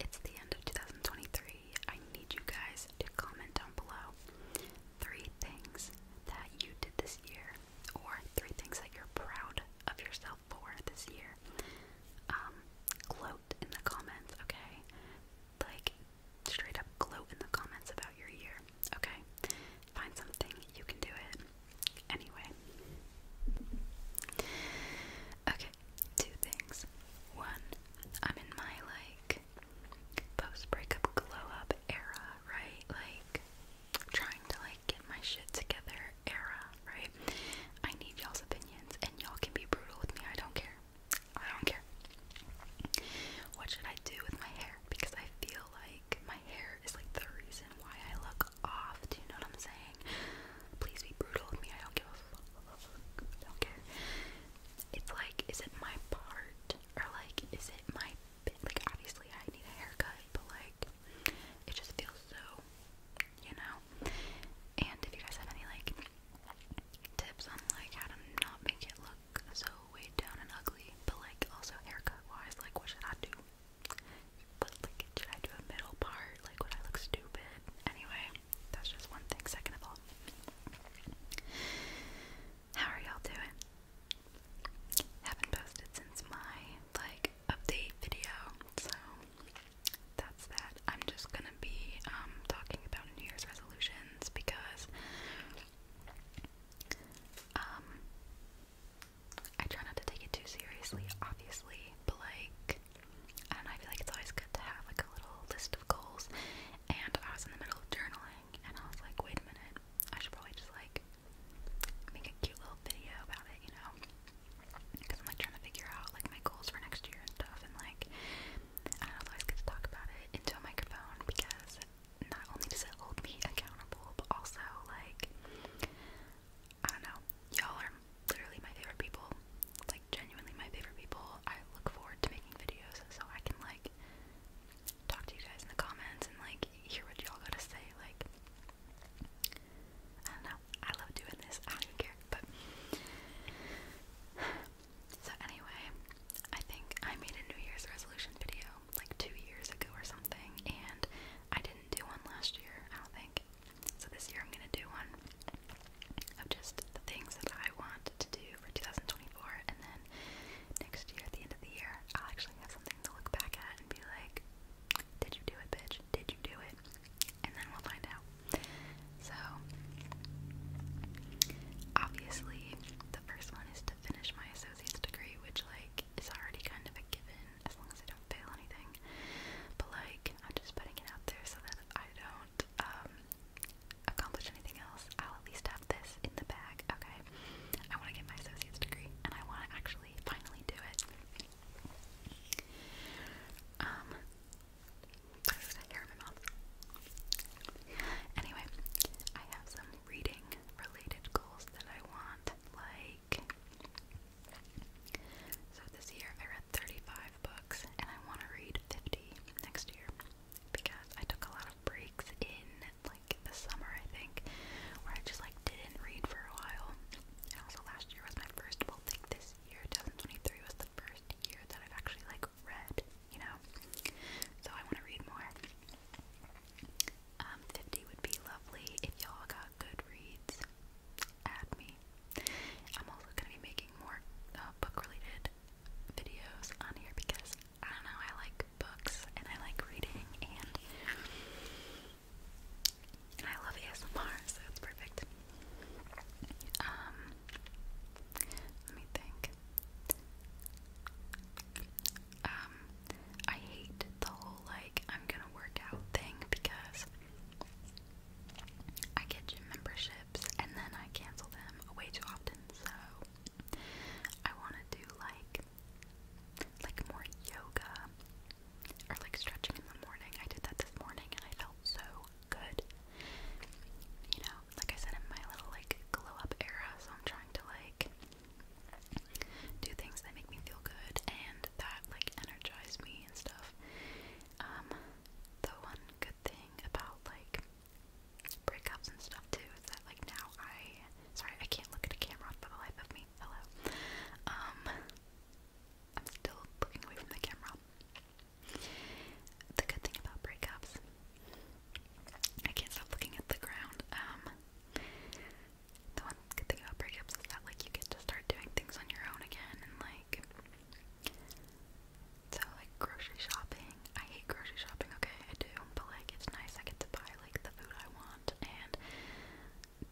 It's the end of 2023. I need you guys to comment down below three things that you did this year, or three things that you're proud of yourself for this year. Um, gloat in the comments, okay? Like, straight up gloat in the comments about your year, okay? Find something, you can do it. Anyway. Okay, two things. One, I'm in my like post breakup glow up era, right? Like trying to like get my shit together era, right? I need y'all's opinions and y'all can be brutal with me. I don't care. I don't care. What should I do with my hair? Because I feel like my hair is like the reason why I look off. Do you know what I'm saying? please be brutal with me, I don't give a fuck, I don't care. It's like, is it my part? Or like, is it my, like obviously I need a haircut, but like, it just feels so, you know? And if you guys have any like, tips on like how to not make it look so weighed down and ugly, but like also haircut wise, like what should I do? But like, should I do a middle part? Like, would I look stupid? Anyway, that's just one thing. Second of all, how are y'all doing? Haven't posted since my like update video, so that's that. I'm just gonna be um, talking about New Year's resolutions because um, I try not to take it too seriously, obviously, but like, I don't know, I feel like it's always good to have like a little list of goals. And I was in the middle of journaling, and I was like, wait a minute, I should probably just like make a cute little video about it, you know? Because I'm like trying to figure out like my goals for next year and stuff, and like, I don't always get to talk about it into a microphone because not only does it hold me accountable, but also like, I don't know. Y'all are literally my favorite people. Like genuinely my favorite people. I look forward to making videos so I can like talk to you guys in the comments and like hear what y'all gotta say. Like I don't know. I love doing this. I don't care. But so anyway, I think I made a New Year's resolution video like two years ago or something, and I didn't do one last year. I don't think. So this year I'm gonna do one of just the things that I want to do for 2024, and then next year, at the end of the year, I'll actually have something to look back at and be like, "Did you do it, bitch? Did you do it?" And then we'll find out. So obviously, the first one is to finish my associate's degree, which like is already kind of a given as long as I don't fail anything. But like, I'm just putting it out there so that I don't um, accomplish anything else. I'll at least have this in the bag, okay? I want to get my associate's degree, and I want to actually finally do it. Um, hair in my mouth. Anyway, I have some reading related goals that I want, like so this year I read 35 books and I want to read 50 next year because I took a lot of breaks in like the summer I think where I just like didn't read for a while. And also last year was my first well I think this year 2023 was the first year that I've actually like read, you know. So I want to read more. Um 50 would be lovely if y'all got Goodreads, add me. I'm also gonna be making more uh, book-related videos on here because I don't know, I like books and I like reading and I love ASMR, so it's perfect. Um, let me think um, I hate the whole like I'm gonna work out thing because I get gym memberships and then I cancel them way too often. So I want to do like like more yoga or like stretching in the morning. I did that this morning and I felt so good. You know, like I said in my little like glow up era, so I'm trying to like do things that make me feel good and that like energize me and stuff. Um, the one good thing about like breakups and stuff too is that like now I sorry I can't look at a camera for the life of me. Hello. Um, I'm still looking away from the camera. The good thing about breakups, I can't stop looking at the ground. Um, the one good thing about breakups is that like you get to start doing things on your own again and like so like grocery shopping. I hate grocery shopping, okay, I do, but like it's nice I get to buy like the food I want and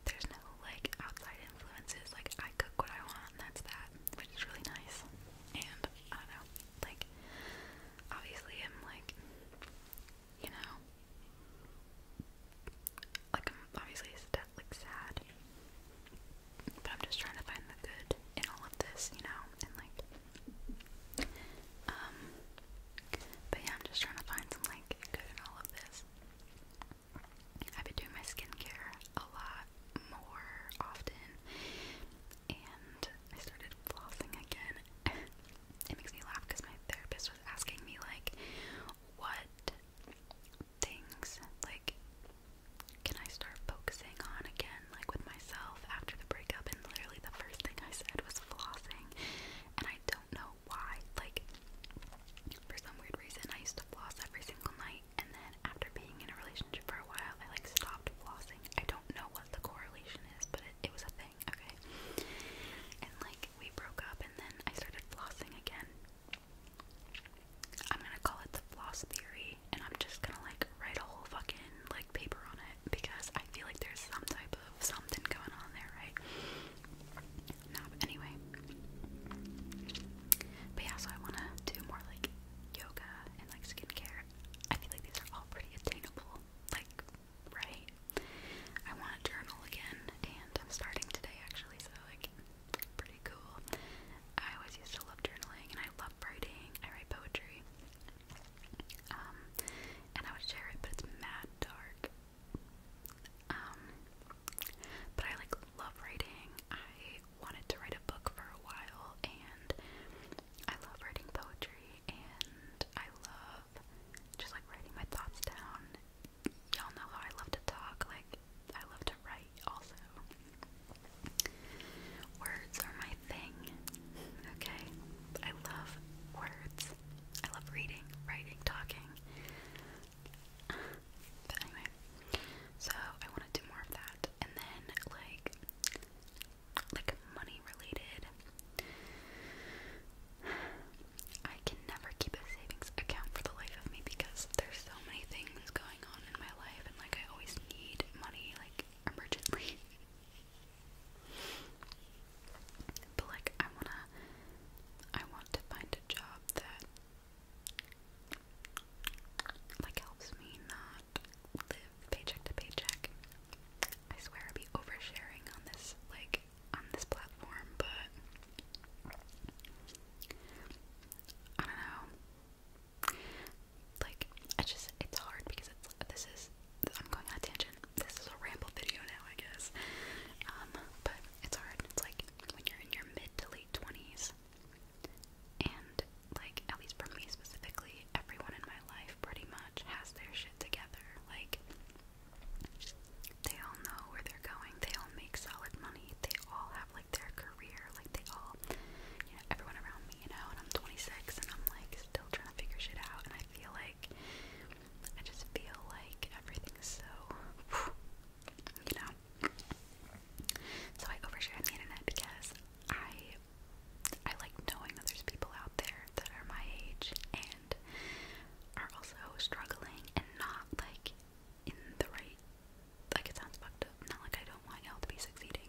there's no like outside influences, like I cook what I want that's that, which is really nice. And I don't know, like obviously I'm like you know. Like I'm obviously stuff like sad. But I'm just trying to find the good in all of this, you know, and like um but yeah, I'm just trying to find some like good in all of this. I've been doing my skincare a lot more often and I started flossing again. it makes me laugh because my therapist asking me like what things like can I start focusing on again like with myself after the breakup and literally the first thing I said was flossing and I don't know why like for some weird reason I used to floss every single night and then after being in a relationship for a while I like stopped flossing. I don't know what the correlation is but it was a thing okay? And like we broke up and then I started flossing again. I'm gonna call it the floss theory and I'm just gonna like write a whole fucking like paper on it because I feel like there's some type of something going on there, right? anyway. But yeah, so I wanna do more like yoga and like skincare. I feel like these are all pretty attainable, like right? I want to journal again, and I'm starting today actually, so like, pretty cool. I always used to love journaling, and I love writing. I write poetry, um, and I would share it, but it's mad dark. Um, but I like love writing. I wanted to write a book for a while, and I love writing poetry, and I love just like writing my thoughts down. Y'all know how I love to talk, like, I love to write also. Words are my thing, okay? I love words. I love reading, writing, talking. But anyway, so I want to do more of that. And then, like, like money related. I can never keep a savings account for the life of me because there's so many things going on in my life and like I always need money like emergently. but like I wanna I want to find a job that like helps me not live paycheck to paycheck. I swear i will be oversharing on this like on this platform, but I don't know. Like I just it's hard because it's this is I'm going on tangent. This is a ramble video now, I guess. Um, but it's hard. It's like when you're in your mid to late twenties and like at least for me specifically, everyone in my life pretty much much has their shit together. Like, they all know where they're going, they all make solid money, they all have like their career, like, they all, you know, everyone around me, you know, and I'm 26 and I'm like still trying to figure shit out, and I feel like, I just feel like everything's so, you know. So I overshare on the internet because I I like knowing that there's people out there that are my age and are also struggling and not like in the right like it sounds fucked up. Not like I don't want y'all to be succeeding.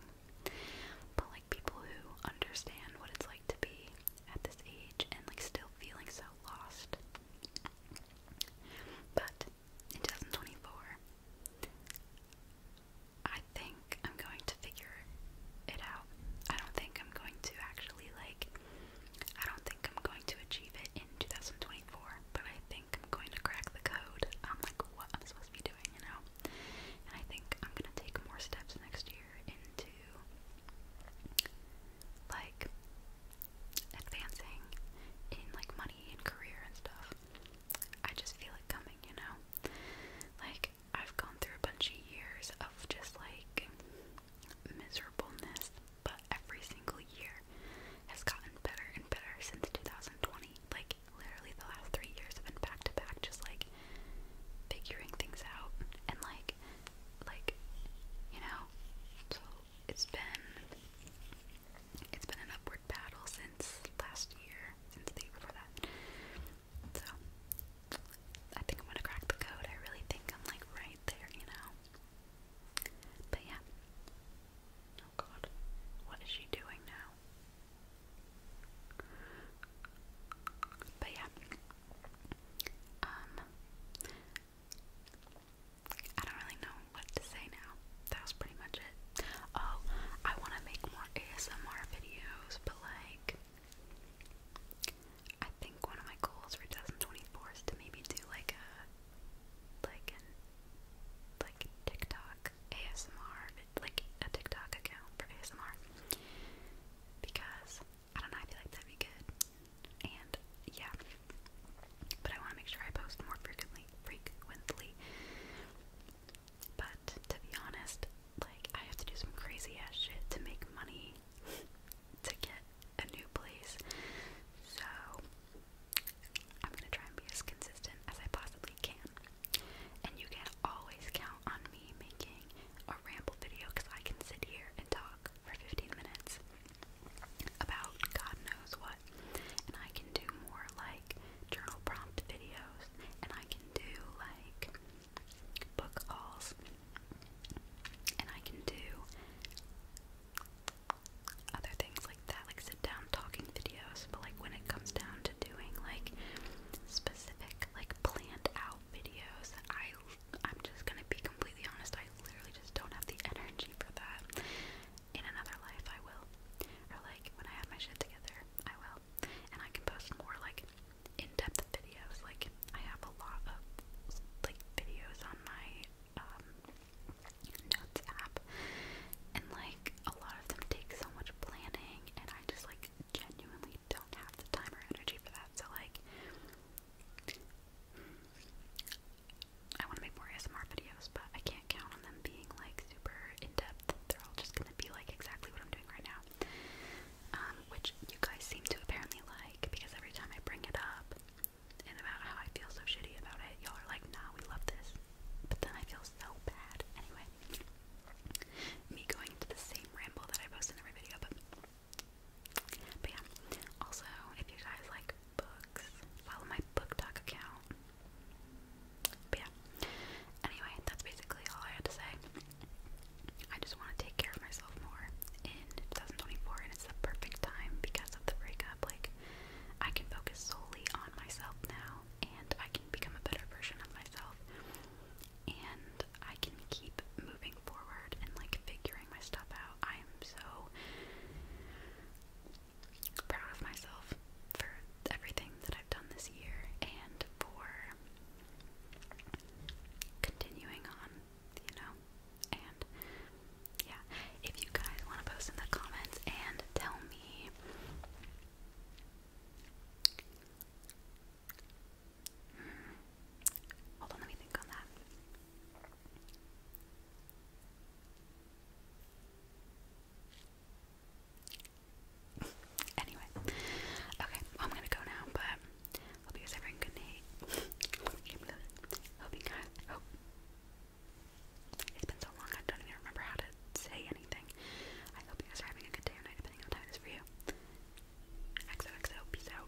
But like people who understand what it's like to be at this age and like still feeling so lost. But in 2024, I think I'm going to figure it out. I don't think I'm going to actually, like, I don't think I'm going to achieve it in 2024, but I think I'm going to crack the code I'm like, what I'm supposed to be doing, you know? And I think I'm going to take more steps next year into, like, advancing in, like, money and career and stuff. I just feel it coming, you know? Like, I've gone through a bunch of years of just like miserableness, but every single year has gotten better and better since 2020. Like, literally, the last three years have been back to back, just like figuring things out and like, like, you know. So it's been it's been an upward battle since last year since the year before that. So I think I'm gonna crack the code. I really think I'm like right there, you know. But yeah. Oh god. What is she doing now? But yeah. Um I don't really know what to say now that was pretty much it. Oh, I want to make more ASMR videos, but like, I think one of my goals for 2024 is to maybe do like a, like an, like TikTok ASMR, like a TikTok account for ASMR, because I don't know, I feel like that'd be good, and yeah, but I want to make sure I post more frequently, frequently. But to be honest, like I have to do some crazy ass shit to make money to get a new place. So I'm gonna try and be as consistent as I possibly can. And you can always count on me making a ramble video because I can sit here and talk for 15 minutes about God knows what. And I can do more like journal prompt videos, and I can do like book calls, and I can do other things like that, like sit down talking videos. But like when it comes down to doing like specific, like planned out videos, I I'm just gonna be completely honest. I literally just don't have the energy for that in another life I will. Or like when I have my shit together, I will. And I can post more like in-depth videos. Like I have a lot of like videos on my um notes app and like a lot of them take so much planning and I just like genuinely don't have the time or energy for that. So like I want to make more ASMR videos, but I can't count on them being like super in depth. They're all just gonna be like exactly what I'm doing right now, um, which you guys seem to apparently like because every time I bring it up and about how I feel so shitty about it, y'all are like, "Nah, we love this," but then I feel so bad anyway. Me going into the same ramble that I post in every video, But yeah, also, if you guys like books. Follow my book talk account. yeah. Anyway, that's basically all I had to say. I just want to take care of myself more in 2024, and it's the perfect time because of the breakup. Like, I can focus solely on myself now, and I can become a better version of myself, and I can keep moving forward and like figuring my stuff out. I am so, proud of myself for everything that I've done this year and for continuing on, you know. And yeah, if you guys want to post in the comments and tell me hmm. Hold on, let me think on that anyway, okay, I'm gonna go now, but hope you guys are having a good night. hope you guys, hope. It's been so long, I don't even remember how to say anything. I hope you guys are having a good day or night, depending on time it is for you. XOXO, peace out.